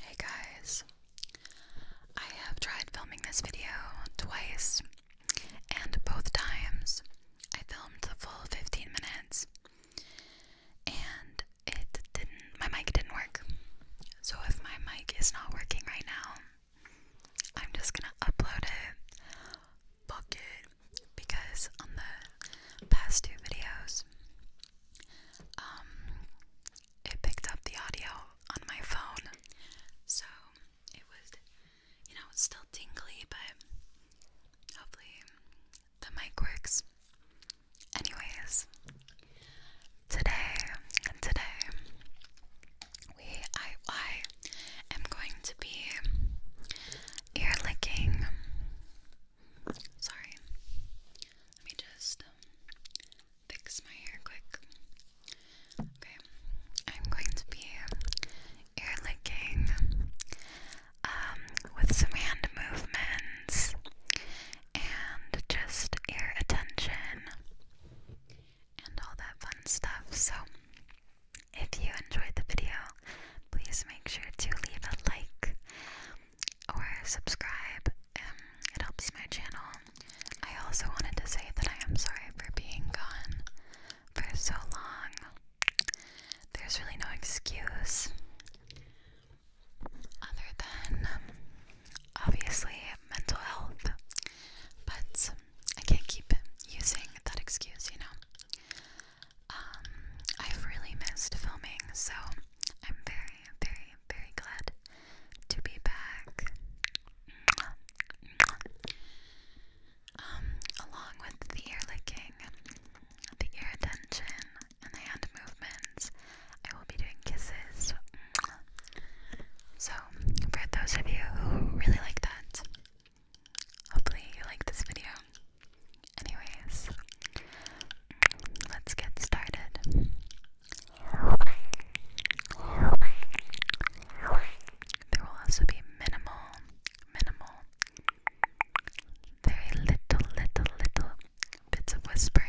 Hey guys, I have tried filming this video twice, and both times I filmed the full 15 minutes, and it didn't, my mic didn't work. So if my mic is not working right now, I'm just gonna upload it. Fuck because on the past two videos, um, it picked up the audio on my phone. So it was, you know, it's still tingly, but hopefully the mic works. Anyways, today, today, we, I, I am going to be ear licking. Sorry. Let me just fix my hair quick. Okay, I'm going to be ear licking um, with some hand movements and just ear attention and all that fun stuff. So, if you enjoyed the video, please make sure to leave a like or subscribe. Um, it helps my channel. I also wanted to say that I am sorry for being gone for so long. There's really no excuse other than um, obviously mental health, but I can't keep using that excuse, you know. Um, I've really missed filming, so I'm very, very am very glad to be back. Um, along with the ear licking, the ear attention, and the hand movements, I will be doing kisses. So, for those of you who really like that, hopefully you like this video. Anyways, Let's get started. There will also be minimal, minimal, very little, little, little bits of whispering.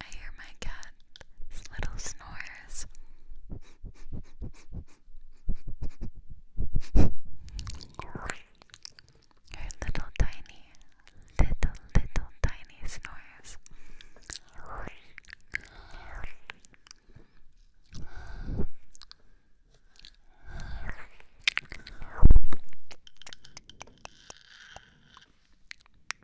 I hear my cat's little snores. Her little tiny, little, little tiny snores.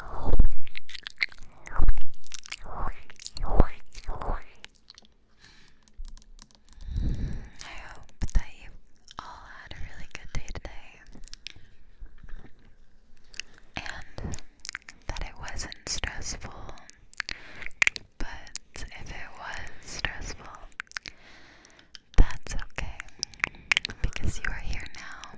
I hope that you all had a really good day today and that it wasn't stressful. But if it was stressful, that's okay because you are here now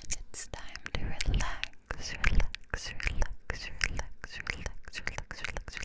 and it's time to relax, relax, relax, relax, relax, relax, relax, relax.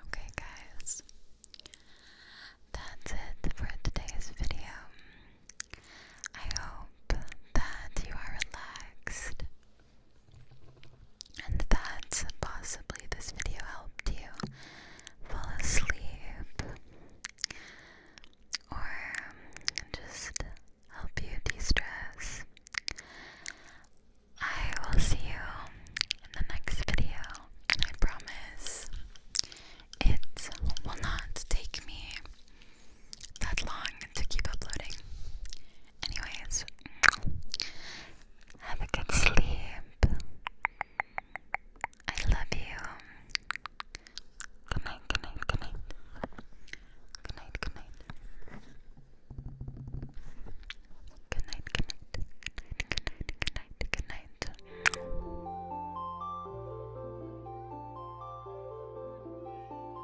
Okay, guys, that's it for today's video. I hope that you are relaxed and that possibly this video helped you fall asleep or just help you de stress. I will see you in the next video, and I promise it will not take me that long to keep uploading. Anyways, have a good sleep. I love you. Good night, good night, good night. Good night, good night. Good night, good night. Good night, good night, good night,